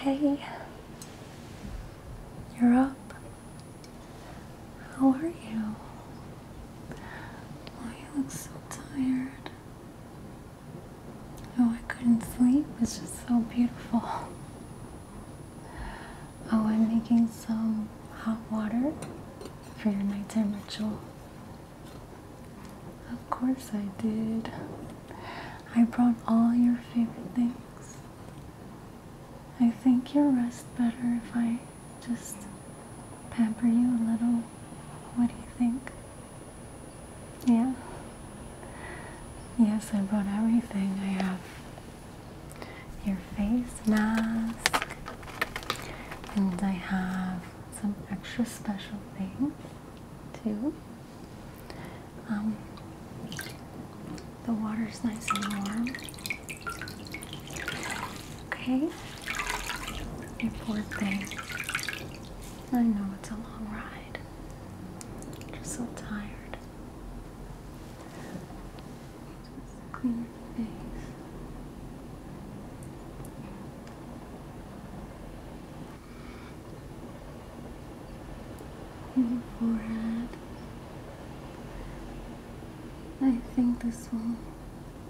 Hey, you're up. How are you? Oh, you look so tired. Oh, I couldn't sleep. It's just so beautiful. Oh, I'm making some hot water for your nighttime ritual. Of course I did. I brought all your favorite things. I think you'll rest better if I just pamper you a little. What do you think? Yeah? Yes, I brought everything I have. Here face mask, and I have some extra special things too. Um, the water's nice and warm. Okay, you poor thing. I know it's a long ride. I'm just so tired clean face. Your forehead. I think this will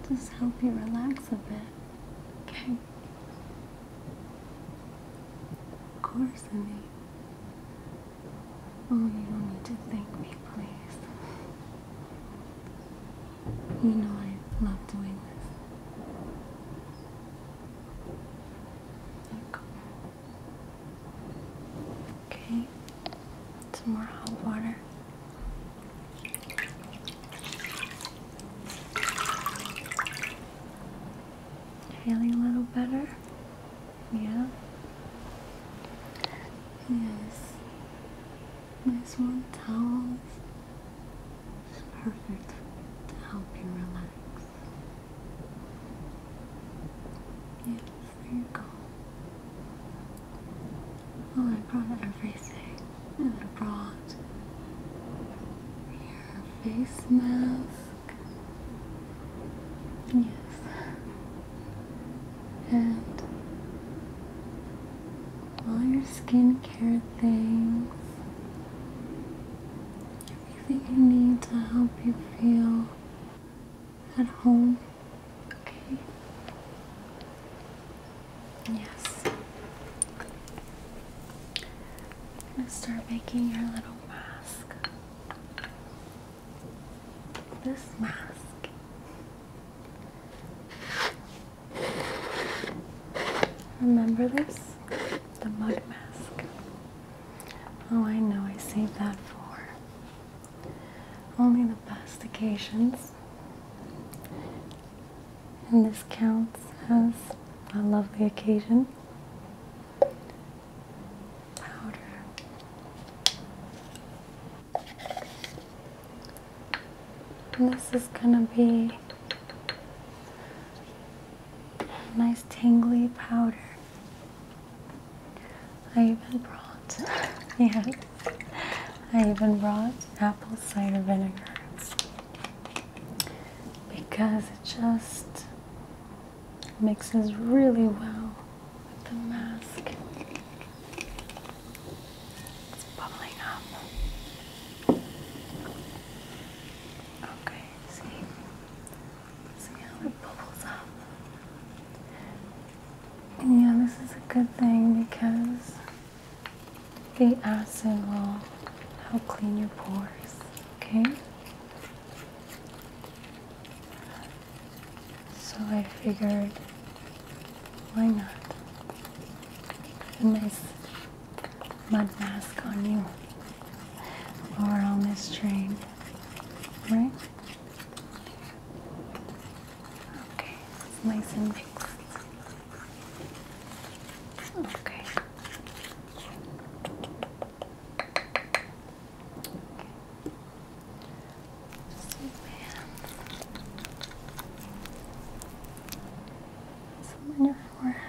just help you relax a bit. Okay. Of course, honey. Oh, you don't need to thank me, please. You know I love doing this. Look. Okay, some more hot water. Feeling a little better? Yeah. Yes. Nice warm towels. It's perfect to help you relax. Yes, there you go. Well, I brought everything. I brought your face mask. Yes, and all your skincare things, everything you need to help you feel at home. Okay. Yes. I'm gonna start making your little mask this mask. Remember this? The mud mask. Oh, I know, I saved that for only the best occasions. And this counts as a lovely occasion. Powder this is going to be a nice tangly powder. I even brought, yeah, I even brought apple cider vinegar because it just mixes really well with the mask. It's bubbling up. Okay, see? See how it bubbles up? yeah, this is a good thing because the acid will help clean your pores, okay? So I figured, why not a nice mud mask on you or we're on this train, right? Okay, nice and mixed. Okay. Some on forehead.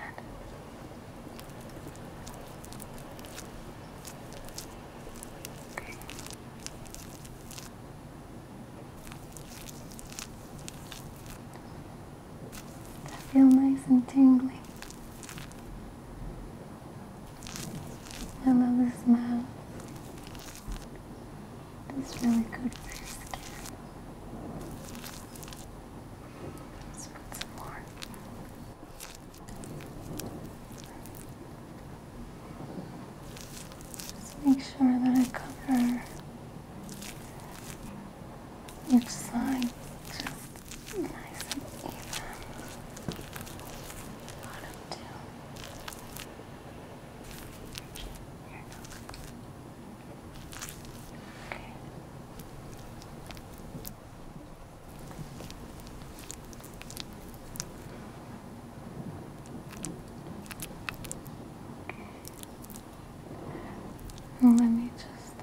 That feel nice and tingly. I love this mouth. It's really good for your skin. Let's put some more. Just make sure that I cover each side just nice and even. Bottom too let me just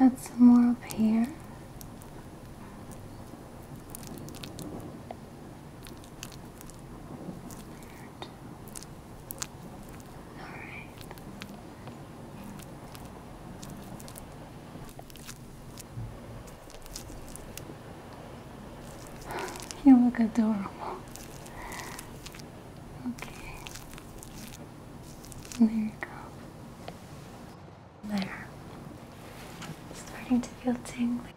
add some more up here. You look adorable. Okay. There you go. There. Starting to feel tingling.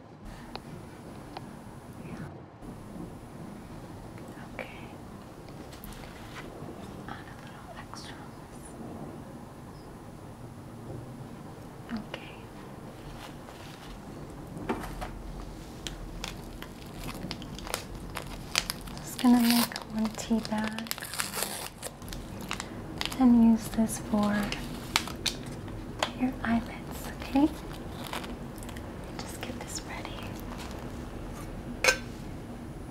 Yeah. Okay. Add a little extra. Okay. Just gonna make one tea bag and use this for your eyelids, okay? Just get this ready.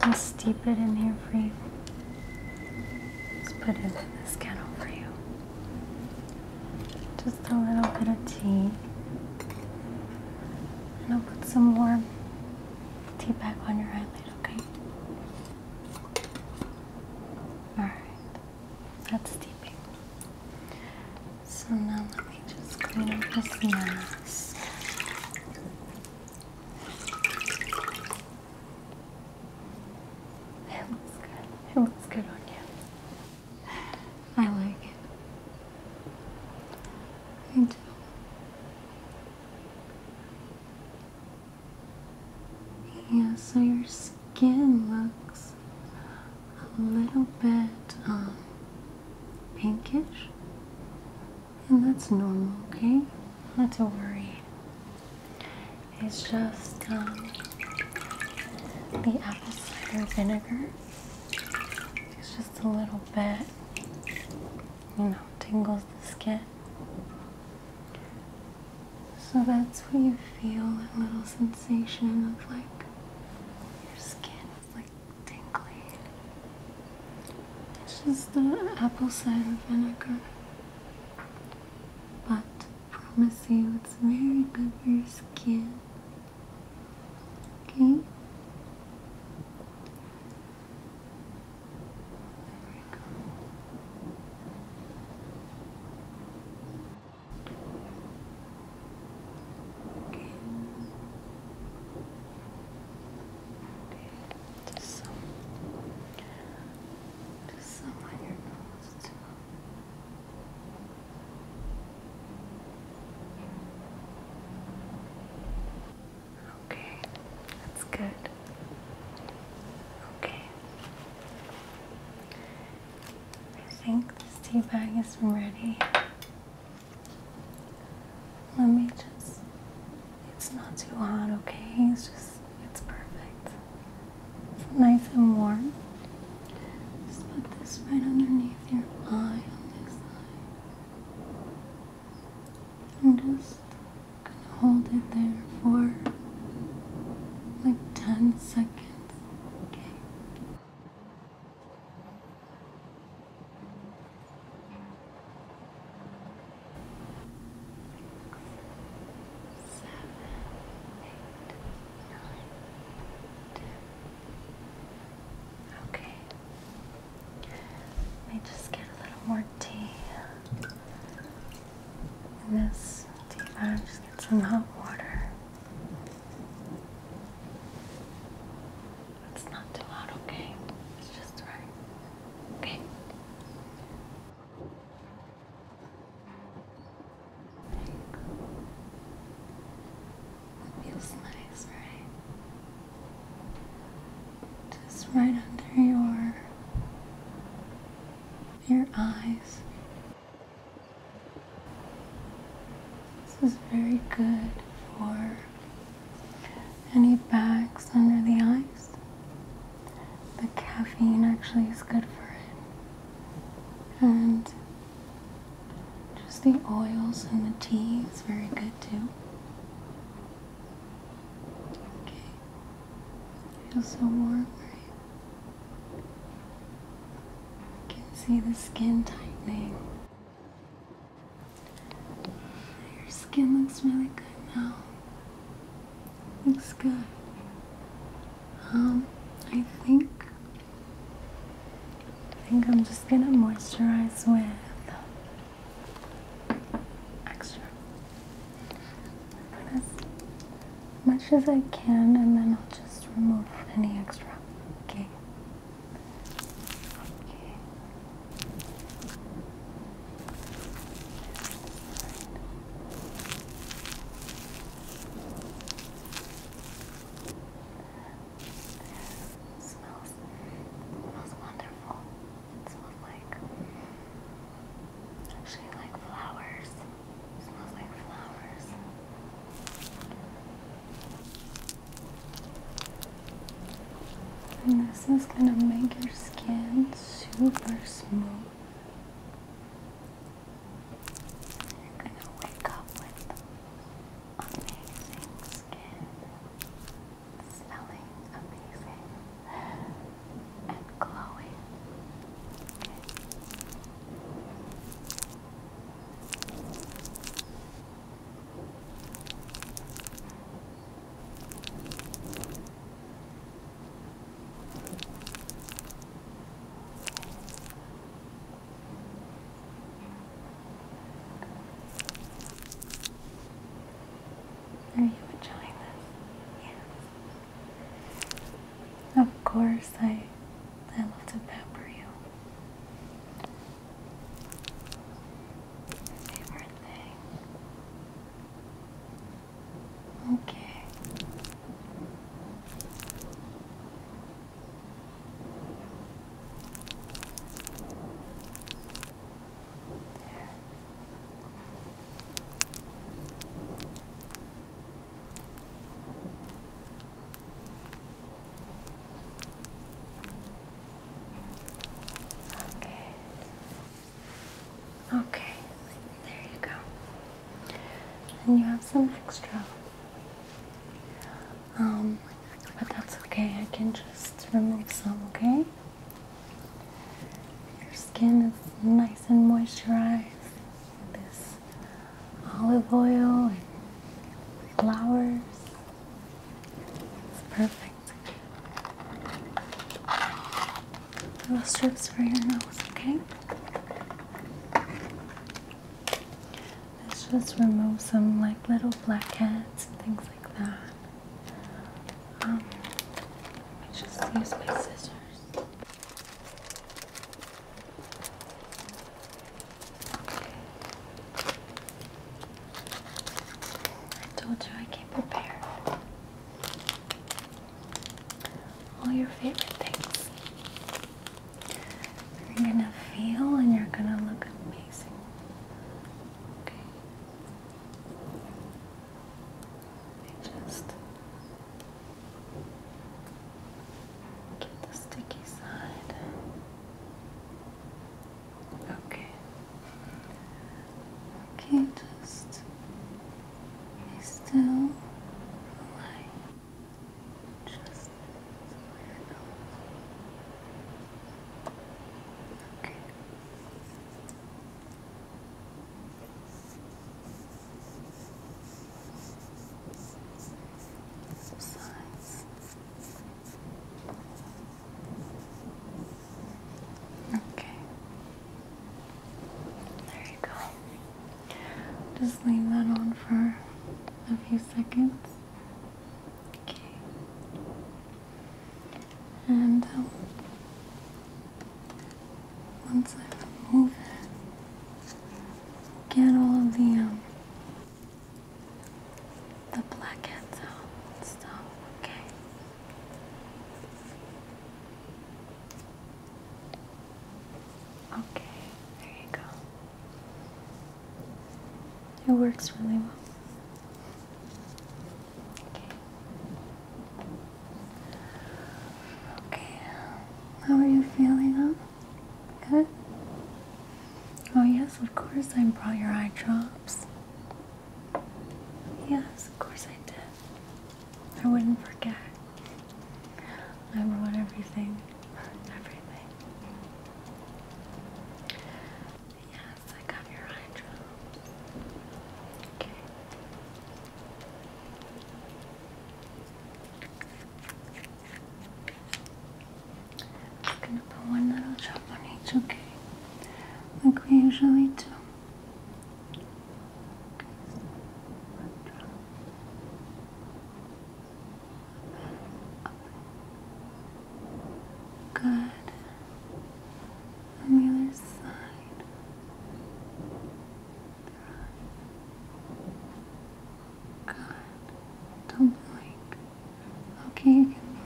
I'll steep it in here for you. Just put it in this kettle for you. Just a little bit of tea. And I'll put some warm tea back on your eyelid, okay? All right, that's steeping. So now let me just clean up this mess. It looks good. It looks good on you. I like it. I do. Yeah, so your skin looks a little bit um, pinkish, and that's normal, okay? Not to worry. It's just um, the apple cider vinegar. It's just a little bit, you know, tingles the skin. So that's when you feel that little sensation of like your skin is like tingling. It's just the apple cider vinegar. But promise you it's very good for your skin. Okay? Okay. Okay. Just some, just some on your nose Okay, that's good. Okay. I think this tea bag is ready. Let me just, it's not too hot, okay? It's just, it's perfect. It's nice and warm. Just put this right underneath your eye on this side. And just Gonna hold it there for like 10 seconds. Okay. Seven, eight, nine, ten. Okay. Let me just get a little more tea in this teapot. Just get some hot water. It's not too hot, okay? It's just right. Okay. Feels nice, right? just right under your your eyes. This is very good for any bags under the eyes. The caffeine actually is good for it. And just the oils and the tea is very good too. Okay. Feels so warm, right? You can see the skin tightening. Your skin looks really good now. Looks good. Um, I think I think I'm just gonna moisturize with extra put as much as I can and then I'll just remove any extra okay okay Smells, smells wonderful. It smells like actually like flowers. smells like flowers. this is gonna make your skin super smooth. You're gonna wake up with amazing skin smelling amazing and glowing. Okay. Are you enjoying this? Yes. Of course, I, I love to pepper you. Favorite thing. Okay. Okay. Okay, there you go. And you have some extra. Um, but that's okay. I can just remove some, okay? Your skin is nice and moisturized with this olive oil and flowers. It's perfect. Little strips for your nose, okay? Let's just remove some like little blackheads and things like that. Um, let just use my scissors. I told you I came prepared. All your favorite things. You're gonna feel and you're gonna look amazing. Okay just get the sticky side. Okay. Okay, just be still. Just Okay. Okay. There you go. Just leave that on for a few seconds. Okay and uh, once I remove it, get all of the um, the blackheads out and stuff. Okay. Okay, there you go. It works really well. Okay. okay. How are you feeling up? Good? Oh yes, of course I brought your eye drops. Yes, of course I did. I wouldn't forget. I brought everything. Everything. Yes, I got your eye Okay. I'm gonna put one little drop on each, okay? Like we usually do. Good. On the other side. Good. Don't blink. Okay, you can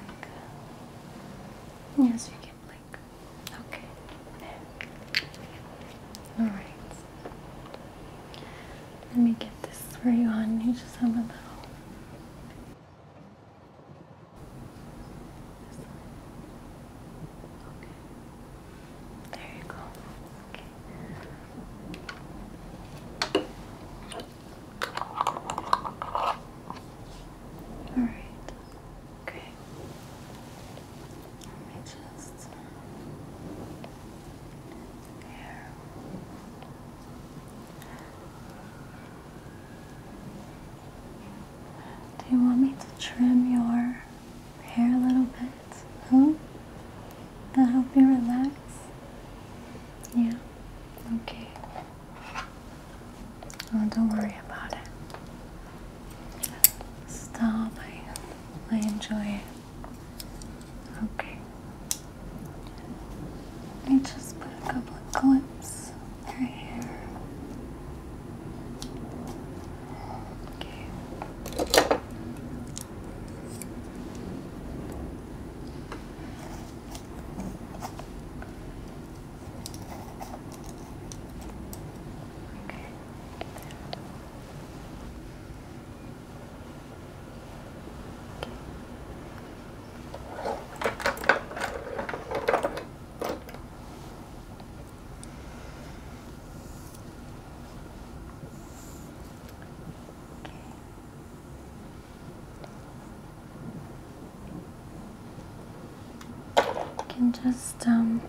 blink. Yes, you can blink. Okay. Alright. Let me get this for you on. You just have a little. This There you go. Okay. Alright. Okay. Let me just there. Do you want me to trim your hair a little bit? Hmm? To help you relax? Yeah? Okay. Oh, don't worry about it. Stop. I, I enjoy it. Okay. I just put a couple of clips right here. Okay. Okay can just um,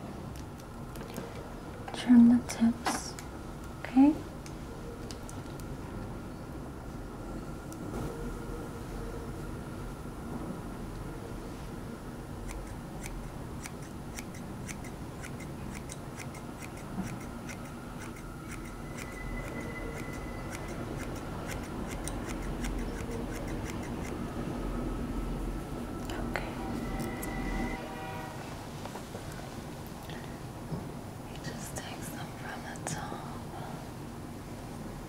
trim the tips, okay? Okay. You just take some from the top.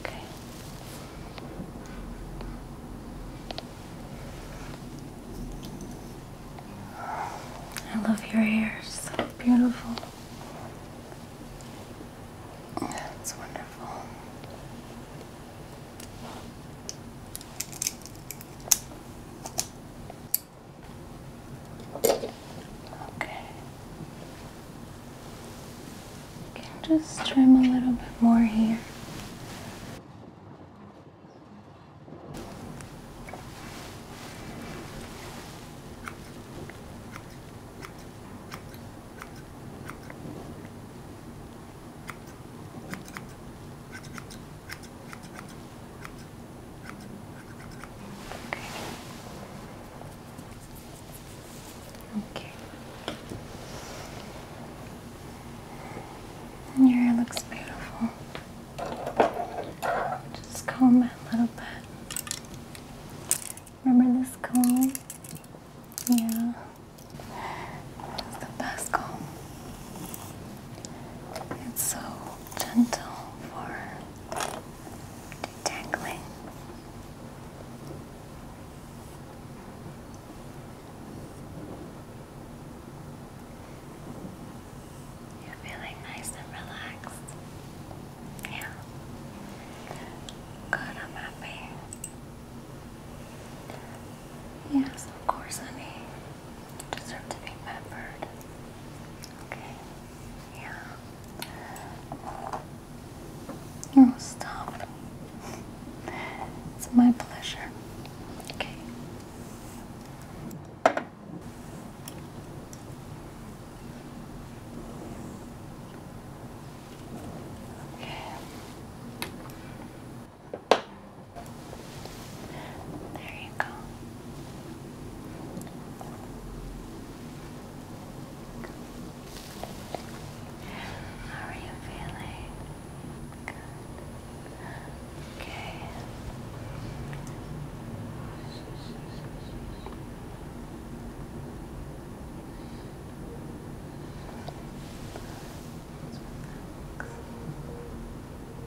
Okay. I love your hair, so beautiful. That's wonderful. Okay. can just trim a little bit more here. Okay. Your hair looks beautiful. Just comb it a little bit. Remember this comb? Yeah. It's the best comb. It's so gentle for detangling. You're feeling nice and relaxed. Yeah. Good, I'm happy. Yes, of course, honey deserve to be remembered. Okay? Yeah. Oh, stop. It's my pleasure. Okay. Okay. There you go. How are you feeling? Good. Okay.